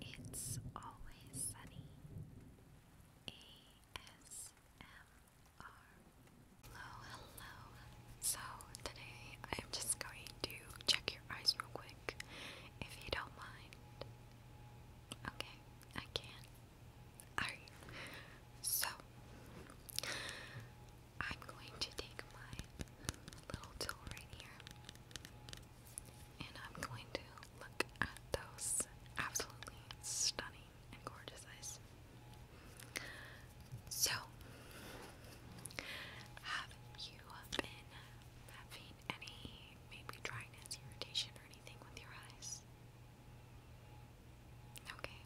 It's Always Sunny ASMR. Hello, hello. So, today I'm just going to check your eyes real quick if you don't mind. Okay, I Alright, so I'm going to take my little tool right here and I'm going to look at those absolutely stunning and gorgeous eyes. So, have you been having any maybe dryness, irritation, or anything with your eyes? Okay,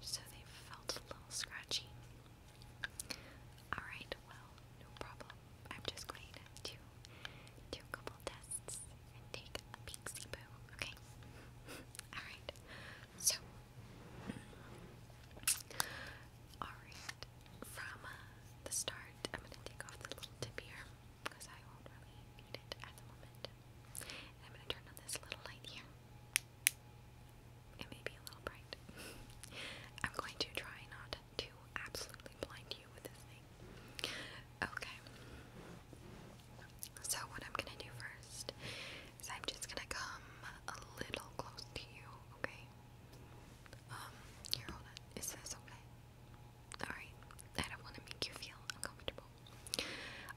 so they felt a little scratchy. Alright, well, no problem. I'm just going to do a couple tests and take a peek boo, okay? Alright, so, alright, from uh, the start, I'm going to take off the little tip here because I won't really need it at the moment. I'm going to turn on this little light here. It may be a little bright. I'm going to try not to absolutely blind you with this thing. Okay. So, what I'm gonna do first is I'm just gonna come a little close to you, okay? Um, here, hold on. Is this okay? Alright. I don't wanna make you feel uncomfortable.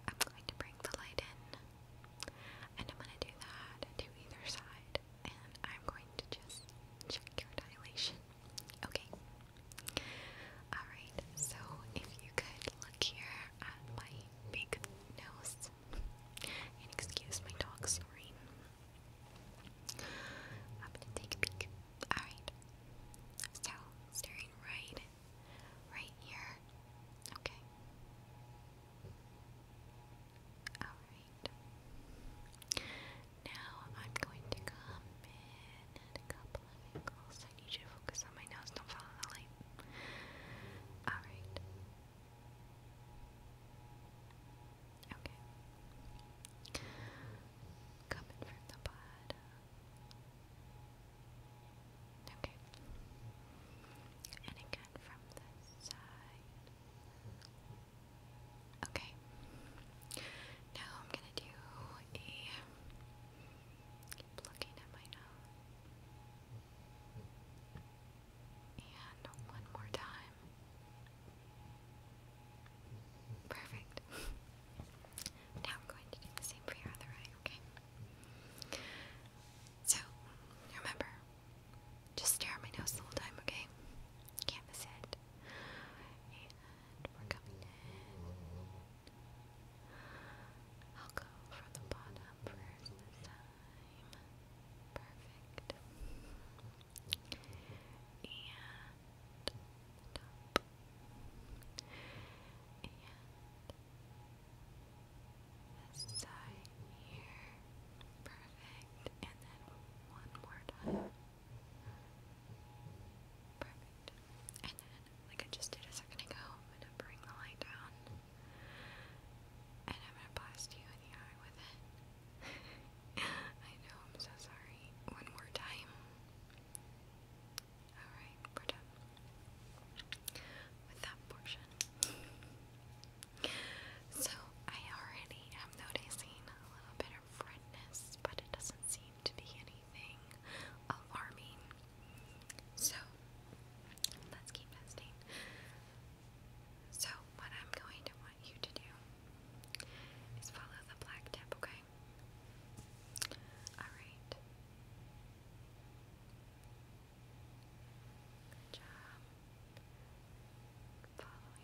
I'm going to bring the light in, and I'm gonna do that to either side and I'm going to just check your dilation. Okay. Alright, so if you could look here at my big nose, and excuse my dog snoring. I'm gonna take a peek. Alright. So, staring right, right here. Okay. Alright. Alright. Now I'm going to come in at a couple of angles. I need you to focus on my nose, don't follow the light. Alright. Okay. Coming from the bottom. Okay. And again from the side. Okay. Now I'm gonna do keep looking at my nose. And one more time. Perfect. now I'm going to do the same for your other eye, okay? So, remember, just stare at my nose the whole time, okay? Can't miss it perfect. And we're coming in. I'll go from the bottom first this time. Perfect. And top. And this side here. Perfect. And then one more time. Perfect. And then, like I just did a second ago, I'm going to bring the light down. And I'm going to blast you in the eye with it. I know, I'm so sorry. One more time. Alright, we're done with that portion. So, I already am noticing a little bit of their friendness, but it doesn't seem to be anything alarming. So, let's keep testing. So, what I'm going to want you to do is follow the black tip, okay? Alright. Good job. Following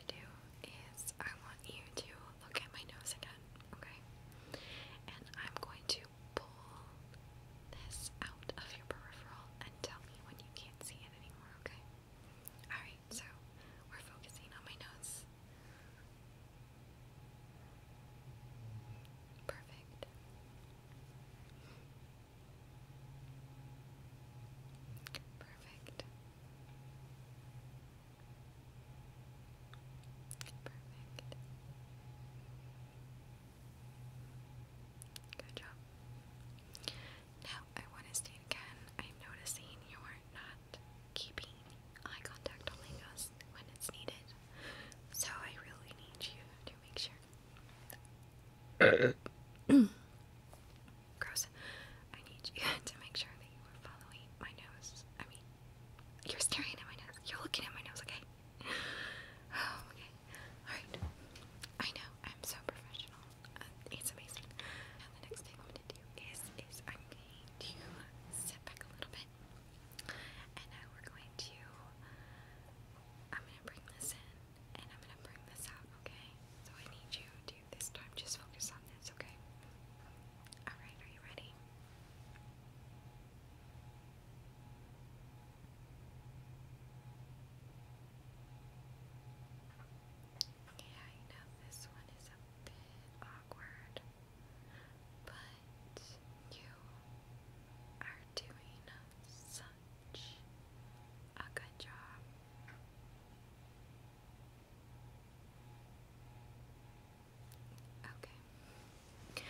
is I want you to look at my nose again, okay? And I'm going to pull this out of your peripheral and tell me when you can't see it anymore, okay? Alright, so we're focusing on my nose. Perfect. Perfect. Perfect. Now, I want to state again, I'm noticing you are not keeping eye contact only us when it's needed. So I really need you to make sure gross. I need you to make sure that you are following my nose. I mean, you're staring at my nose. You're looking at my nose, okay? Oh, okay. Alright. I know, I'm so professional. Uh, it's amazing. Now, the next thing I'm going to do is, is I'm going to sit back a little bit. And now we're going to, I'm going to bring this in and I'm going to bring this out, okay? So I need you to this time. Just focus on this, okay? Alright, are you ready? Yeah, I know this one is a bit awkward, but you are doing such a good job. Okay.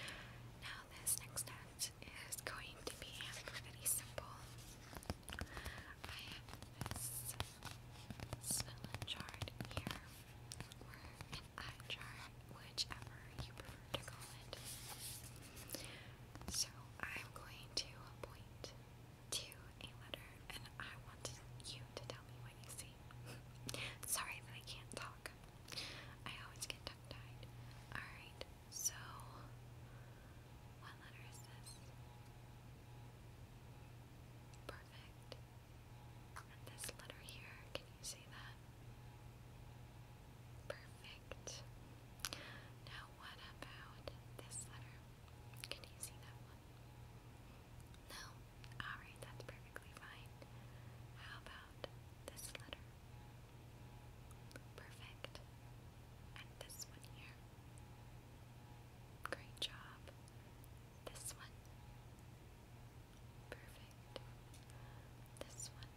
Now this next act is going to be pretty simple. I have this Switzerland chart here, or an eye chart, whichever you prefer to call it. So I'm going to point to a letter, and I want you to tell me what you see. Sorry that I can't talk. I always get tongue tied. Alright, so what letter is this? Perfect. this letter here, can you see that? Perfect. Now, what about this letter? Can you see that no? Alright, that's perfectly fine. How about this letter? Perfect. And this one here. Great job. This one. Perfect. This one.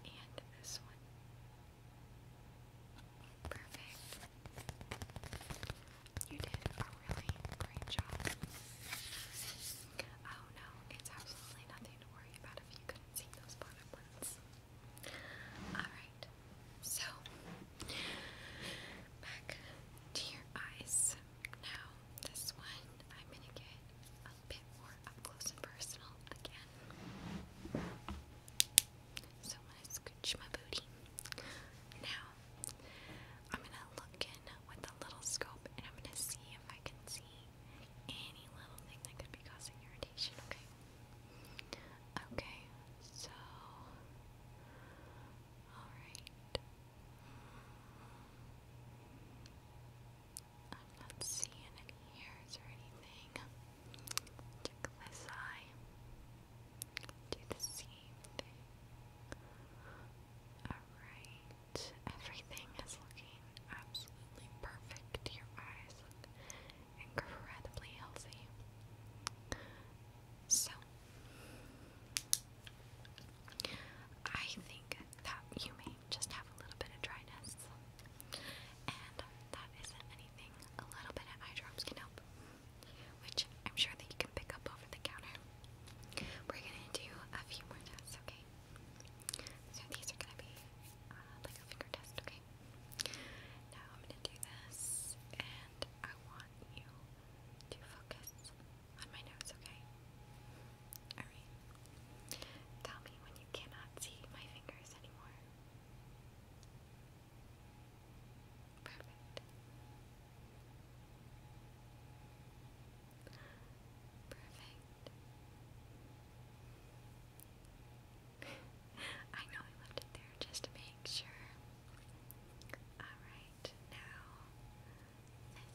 And this one. Perfect. You did a really great job. Oh no, it's absolutely nothing to worry about if you couldn't see those bottom Alright, so back to your eyes. Now, this one I'm gonna get a bit more up close and personal again. So I'm gonna scooch my booty. Now, I'm gonna look in with a little scope and I'm gonna see if I can see any little thing that could be causing irritation, okay? Okay, so. Alright. I'm not seeing any hairs or anything. Check this eye do the same thing. Alright, everything is looking absolutely perfect. Your eyes incredibly healthy. So, I think that you may just have a little bit of dryness, and that isn't anything. A little bit of eye drops can help which I'm sure that you can pick up over the counter. We're gonna do a few more tests, okay? So these are gonna be uh, like a finger test, okay? Now I'm gonna do this, and I want you to focus on my nose, okay? Alright. Tell me when you cannot see my fingers anymore. Perfect. Perfect. I know I left it there just to make sure. Alright, now this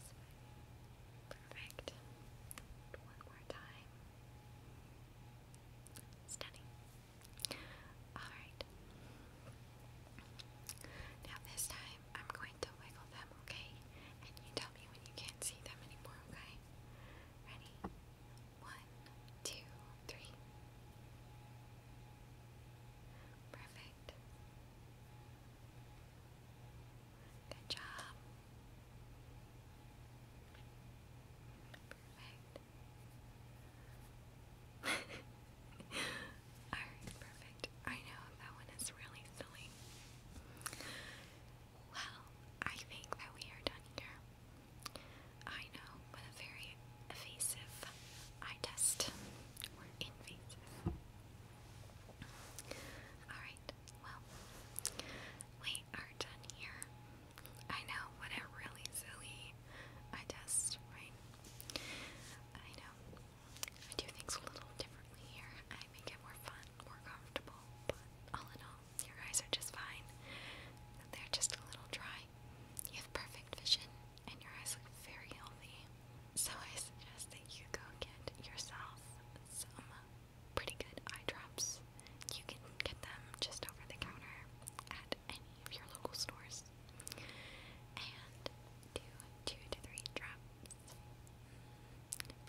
Perfect. One more time. Stunning. Alright. Now this time I'm going to wiggle them, okay? And you tell me when you can't see them anymore, okay? Ready? One, two, three. Perfect. Good job. Perfect. Alright, perfect. I know that one is really silly. Well, I think that we are done here. I know, what a very evasive eye test. Or invasive. Alright, well, we are done here. I know, what a really silly eye test, right? I know. I do things a little differently here. I make it more fun, more comfortable, but all in all, your eyes are just fine. They're just a little dry. You have perfect vision, and your eyes look very healthy. So I suggest that you go get yourself some pretty good eye drops. You can get them just over the counter at any of your local stores. And do two to three drops,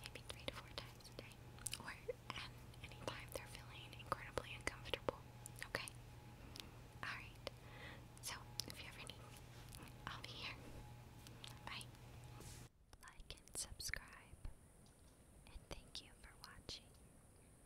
maybe three to four times or any time they're feeling incredibly uncomfortable. Okay? Alright. So, if you ever need I'll be here. Bye. Like and subscribe. And thank you for watching.